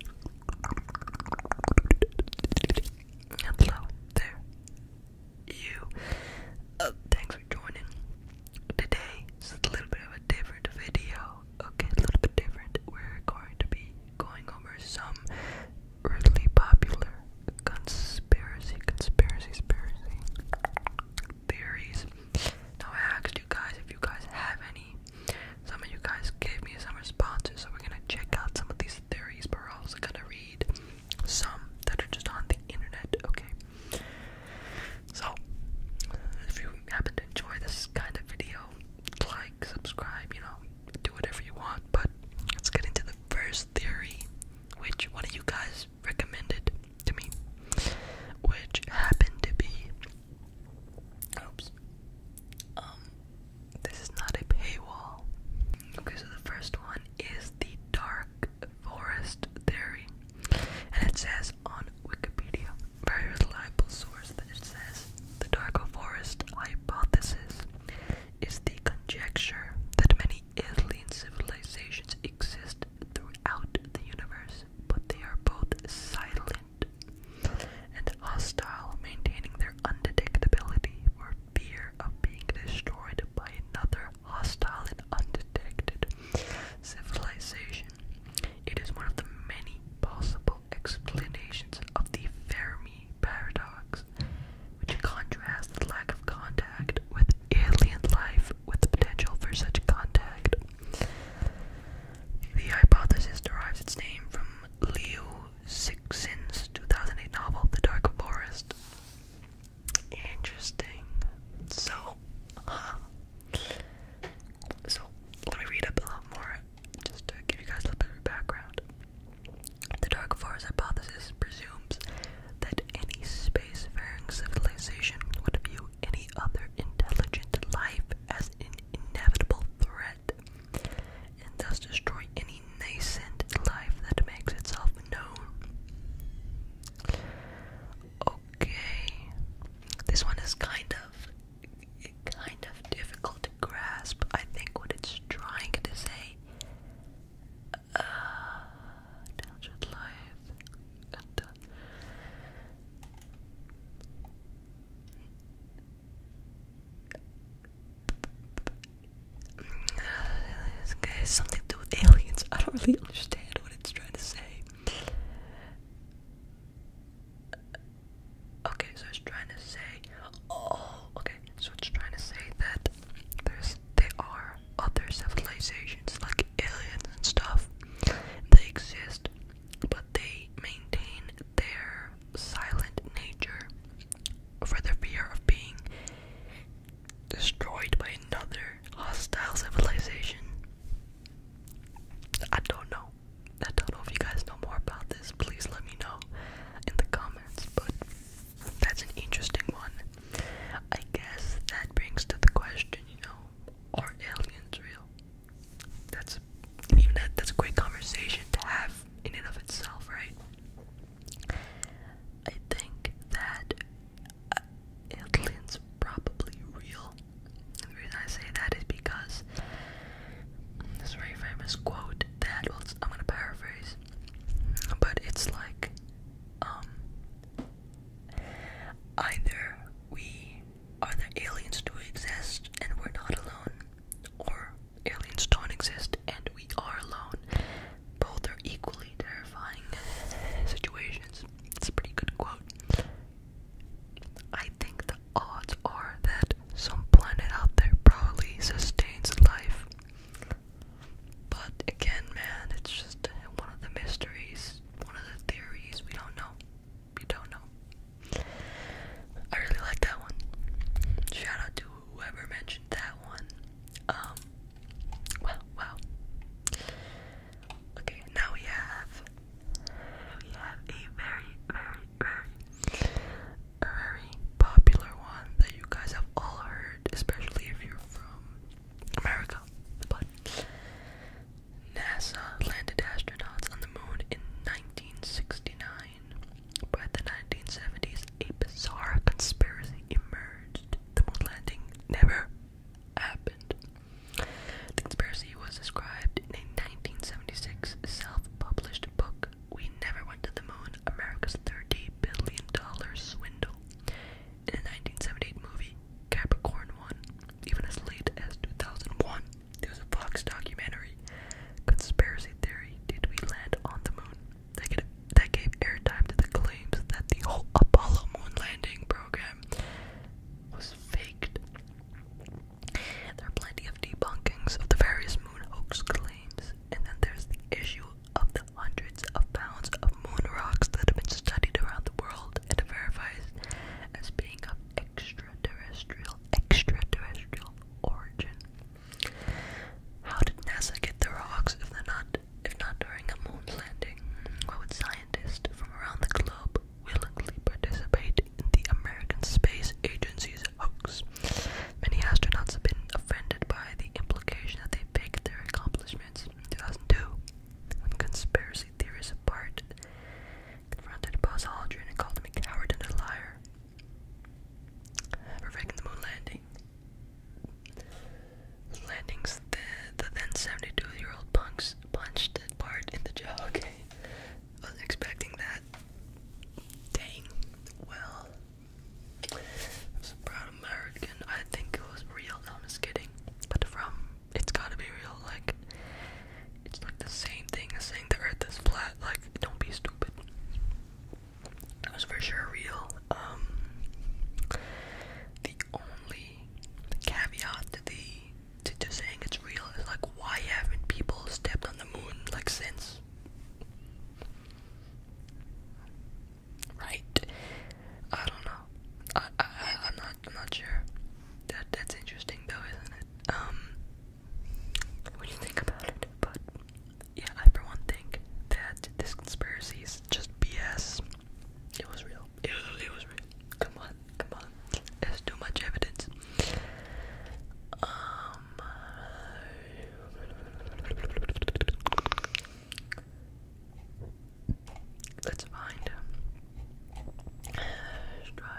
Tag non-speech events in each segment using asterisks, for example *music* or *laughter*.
And there you. Uh, thanks for joining. Today is a little bit of a different video. Okay, a little bit different. We're going to be going over some really popular conspiracy, conspiracy, conspiracy theories. Now I asked you guys if you guys have any some of you guys gave me some responses, so we're gonna check out some of these theories, but we're also gonna read some that are just on the internet, okay? So, if you happen to enjoy this kind of video, like, subscribe, you know, do whatever you want, but let's get into the first theory, which one of you guys recommended to me, which happened to be Oops. Um, this is not a paywall. Okay, so the first one is the dark forest theory, and it says on Wikipedia, very reliable source, that it says the dark forest hypothesis is the conjecture that many alien civilizations exist throughout the universe, but they are both silent and hostile, maintaining their undetectability for fear of being destroyed by another hostile and undetected civilization. It is one of the many possible explanations of the Fermi paradox, which contrasts the lack of contact with alien life with the potential for such contact. The hypothesis derives its name from from Liu 2008 novel, The Dark Forest. Interesting. So, So, let me read up a lot more just to give you guys a little bit of background. The Dark Forest hypothesis presumes that any spacefaring civilization would view any other intelligent life as an inevitable threat and thus destroy any nascent life that makes itself known. Okay, this one is kind of kind of difficult to grasp. I think what it's trying to say. Uh, life. And, uh, this something to do with aliens. I don't really understand what it's trying to say. Okay, so it's trying to say. Oh, okay. So it's trying to say that there's there are other civilizations like aliens and stuff. They exist, but they maintain their silent nature for the fear of being destroyed by another hostile civilization. I don't know. I don't know if you guys know more about this. Please let me know in the comments. But that's an interesting one. I guess that brings to the question, you know, are aliens real? that's even that, that's a great conversation to have in and of itself, right? I think that uh, aliens probably real. the reason I say that is because this very famous quote that I'm gonna paraphrase, but it's like, um, either we are the aliens do exist and we're not alone, or aliens don't exist and we are alone. Both are equally terrifying situations. It's a pretty good quote. I think the odds are that some planet out there probably sustains life. But again, man, it's just one of the mysteries, one of the theories, we don't know you don't know. I really like that one. Shout out to whoever mentioned that one. Um, well, wow. Okay, now we have we have a very, very, very popular one that you guys have all heard, especially if you're from America. But NASA landed astronauts on the moon in 1969. By the 1970s, a bizarre conspiracy emerged. The moon landing never happened. The conspiracy was described in a 1976 self-published book, We Never Went to the Moon, America's $30 Billion Swindle. In a 1978 movie, Capricorn 1, even as late as 2001, there was a Fox documentary, Conspiracy Theory, Did We Land on the Moon? That, gave airtime to the claims that the whole Apollo moon landing program was faked. There are plenty of debunkings of the various moon hoax claims, and then there's the issue of the hundreds of pounds of moon rocks that have been studied around the world and verified as being of extraterrestrial origin extraterrestrial extraterrestrial origin. How did NASA get the rocks if they're not if not during a moon landing? Why would scientists from around the globe willingly participate in the American Space Agency's hoax? Many astronauts have been offended by the implication that they faked their accomplishments in 2002 conspiracy theories apart confronted Buzz Aldrin and called him a coward and a liar for the moon landing. Landings, the, the then 72-year-old punks punched Bart in the jaw. Okay, was expecting that. Dang. Well, I am a proud American. I think it was real. I'm just kidding. But from, it's gotta be real. Like, it's like the same thing as saying the earth is flat. Like, don't be stupid. That was for sure real. Um, the only caveat to the to just saying it's real is like, why haven't people stepped on the moon like since? Right? I don't know. I I I'm not I'm not sure. That that's interesting though, isn't it? Um when you think about it. But yeah, I for one think that this conspiracy is just BS. It was real. It was, was real. Come on, come on. There's too much evidence. Um. Let's find. let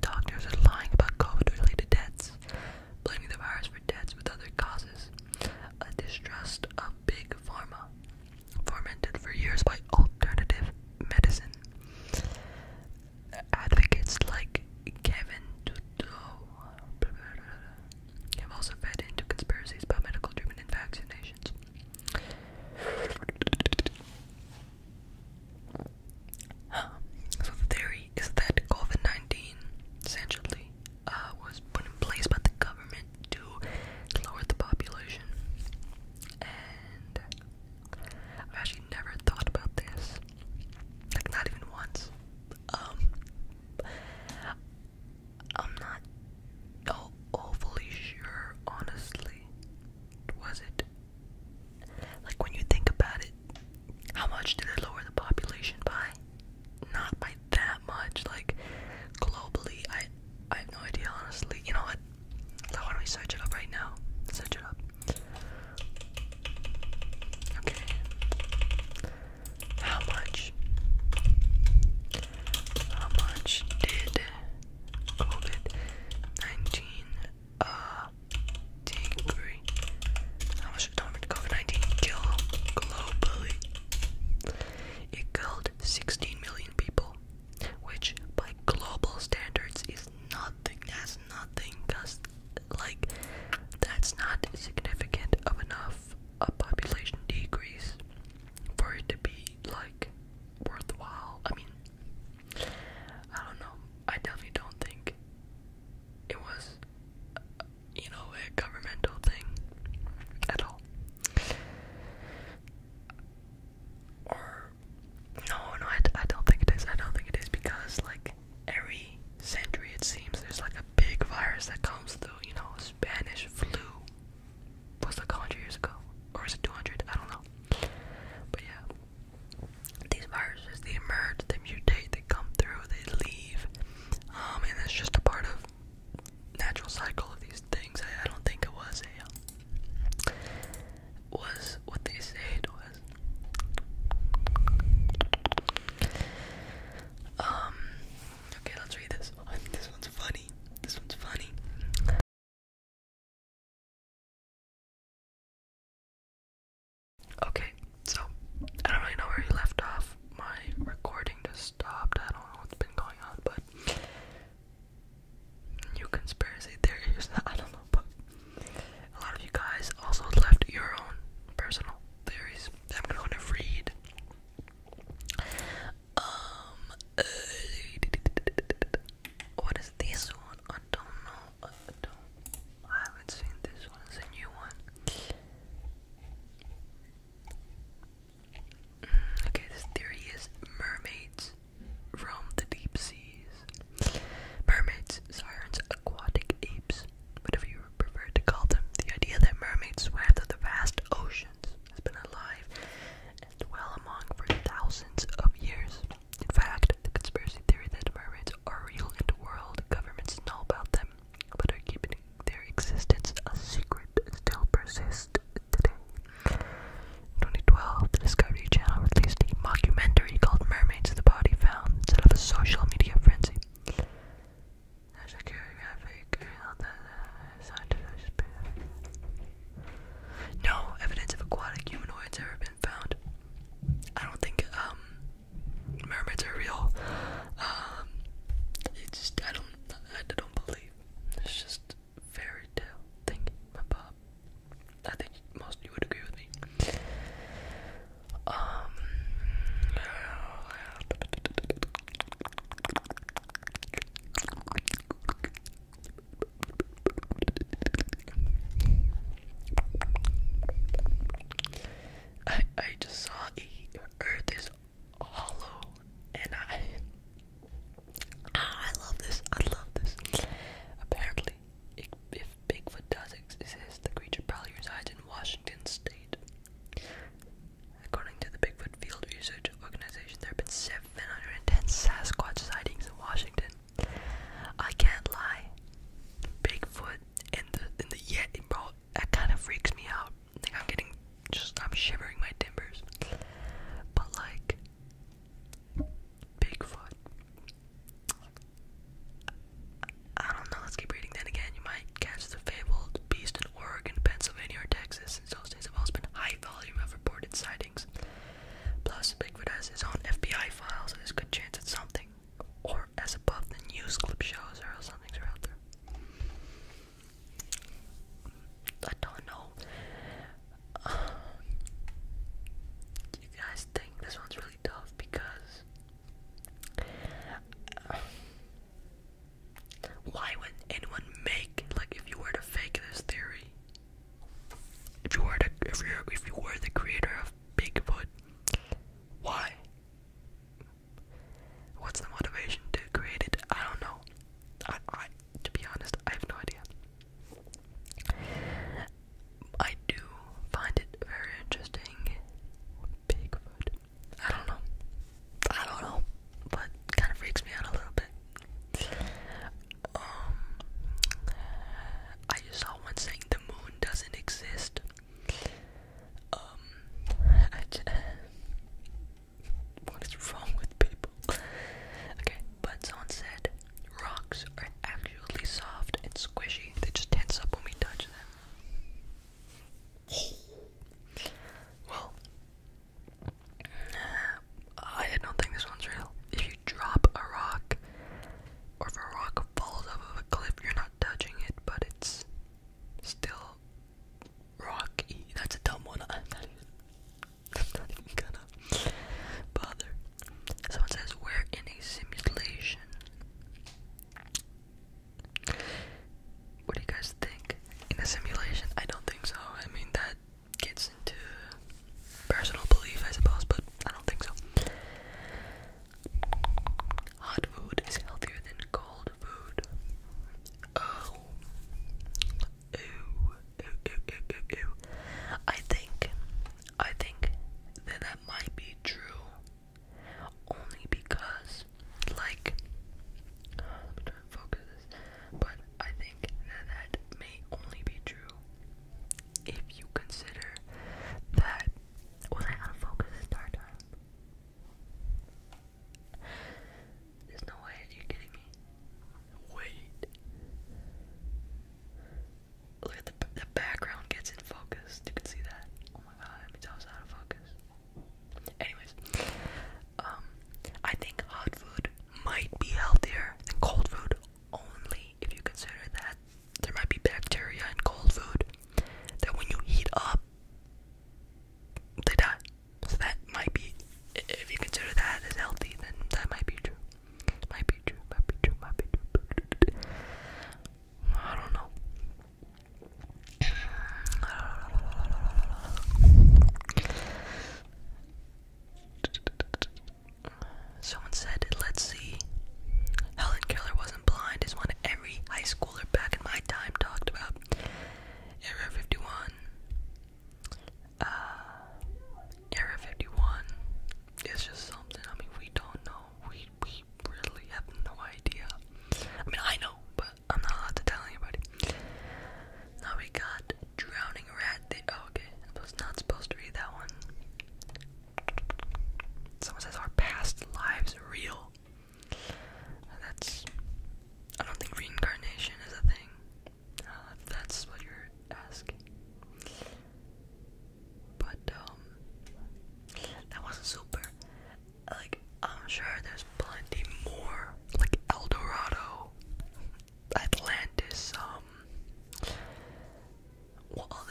doctors are lying about COVID-related deaths, blaming the virus for deaths with other causes. A distrust of big pharma, fomented for years by alternative medicine. Advocates like Kevin Trudeau have also fed into conspiracies about medical treatment and vaccinations. So the theory is that COVID-19 essentially uh, was put in place by the government to lower the population. And I've actually never thought about this, like not even once. Um, I'm not awfully oh, sure, honestly. Was it like when you think about it, how much did it lower the population by? Not by that much. Like globally, I I have no idea honestly. You know what? So why don't we search it up right now? Search it up. Okay. How much? How much did COVID nineteen a degree. How was determined COVID-19 kill globally? It killed 16 million people, which by global standards is nothing. That's nothing, cause like that's not significant of enough a population decrease for it to be like worthwhile. I mean, I don't know. I definitely don't think it was, uh, you know, a governmental thing at all. Or no, no, I, I don't think it is. I don't think it is because like every century it seems there's like a big virus that comes through. You know, Spanish flu was like 100 years ago, or is it 200? I don't know. But yeah, these viruses, they emerge, they mutate, they come through, they leave. Um, and it's just a part of natural cycle of these things. I, don't think it was um, was what they say was. Um, okay, let's read this *laughs* This one's funny. This one's funny. Okay, so I don't really know where he left off. My recording just stopped. I don't know what's been going on, but new conspiracy theories. *laughs* I don't know, but a lot of you guys also left your own personal theories I'm gonna read. Um, uh, *laughs* what is this one? I don't know. I don't. I haven't seen this one. It's a new one. Mm, okay, this theory is mermaids from the deep seas. Mermaids, sirens, aquatic apes, whatever you prefer to call them. The idea that mermaids swam through the vast oceans has been alive and well among for thousands of years. In fact, the conspiracy theory that mermaids are real in the world, governments know about them, but are keeping their existence a secret, still persists today. In 2012, the Discovery Channel released a mockumentary called Mermaids the Body Found instead of a social media frenzy. Uh, no evidence of aquatic humanoids ever been found. I don't think um, mermaids are real. it's um, just I don't I don't believe it's just fairy tale thing, my pop. I think most of you would agree with me. Um, I I just saw earth is hollow and I ah, I love this. I love this. Apparently, if Bigfoot does exist, the creature probably resides in Washington state. According to the Bigfoot Field Research Organization, there have been 710 Sasquatch sightings in Washington. I can't lie. Bigfoot in the and the Yeti, bro, that kind of freaks me out. I'm getting just I'm shivering my timbers. But like Bigfoot. I don't know, let's keep reading. Then again, you might catch the fabled beast in Oregon, Pennsylvania, or Texas. Since those days have also been high volume of reported sightings. Plus, Bigfoot has his FBI files, there's good chance it's something or as above the news clip shows, or else something's out there. I don't know. Uh, *sighs* you guys think this one's really tough because *sighs* why would anyone make like if you were to fake this theory? If you were to if you if you were the creator of Bigfoot. Why? What's the motivation to create it? I don't know. I, I, to be honest, I have no idea. I do find it very interesting. Bigfoot. I don't know. I don't know. But kind of freaks me out a little bit. Um, I just saw one saying the moon doesn't exist. Um, *laughs* what is wrong with people? Okay, but said rocks are actually soft and squishy. They just tense up when we touch them. Well, I don't think this one's real. If you drop a rock or if a rock falls off of a cliff, you're not touching it, but it's still rocky. That's a dumb one. I'm *laughs* not gonna bother. Someone says we're in a simulation. What do you guys think? In a simulation? I don't think so. I mean that gets into personal belief, I suppose, but I don't think so. Hot food is healthier than cold food. Oh. Ew. Ew, ew, ew, ew, I think, I think that that might be true. Only because, like, I'm trying to focus but I think that that may only be true if you consider that was I unfocused the There's no way you're kidding me. Wait. Look at the the background gets in focus. You can see that. Oh my god, that means out of focus. Anyways, um, I think hot food might be healthier than cold food only if you consider that there might be bacteria in cold food that when you heat up, they die. Uh, so that might be, if you consider that as healthy, then that might be true. Might be true, might be true, might be true. I don't know. Someone said, let's see. Helen Keller wasn't blind is one every high schooler back in my time talked about. Era 51. Uh, Era 51 is just something, I mean, we don't know. We, we really have no idea. I mean, I know, but I'm not allowed to tell anybody. Now we got Drowning Rat. oh, okay. I was not supposed to read that one. Someone says, our past lives real? That's. I don't think reincarnation is a thing. if uh, that's what you're asking. But, um. That wasn't super. Like, I'm sure there's plenty more. Like, El Dorado, Atlantis, um what other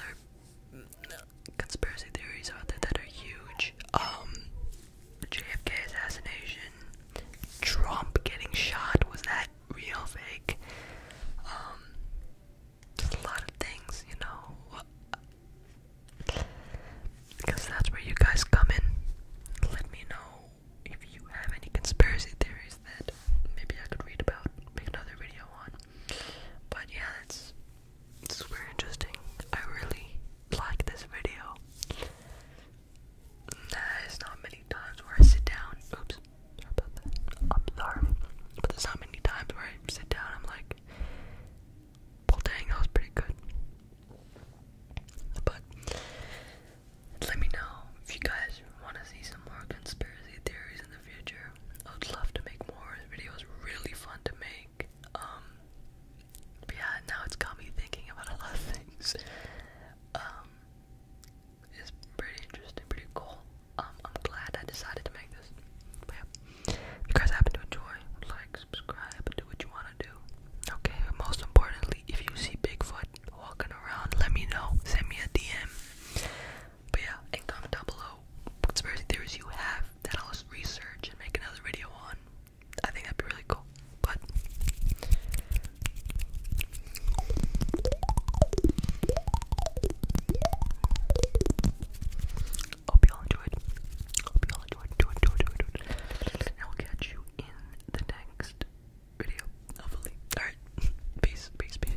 conspiracy theories are there that are huge? Um, JFK assassination, Trump getting shot, was that real, fake? Um, a lot of things, you know. Because that's where you guys come in. Let me know if you have any conspiracy theories maybe I could read about, make another video on. But yeah, it's super interesting. I really like this video. There's not many times where I sit down. Oops, sorry about that. not many times where I sit down I'm like, well dang, that was pretty good. But let me know if you guys want to see some more conspiracy theories in the future I would love to make more. videos. really fun to make. Um, but yeah, now it's got me thinking about a lot of things. Um, it's pretty interesting, pretty cool. Um, I'm glad I decided to make this. you guys happen to enjoy, like, subscribe, do what you want to do. Okay, but most importantly, if you see Bigfoot walking around, let me know. Send me a DM. But yeah, and comment down below conspiracy theories you have that I'll research and make another video on. I think that'd be really cool. But hope y'all enjoyed. Hope y'all enjoyed. Do it, do And I'll catch you in the next video. Hopefully. Alright. *laughs* Peace, peace, peace.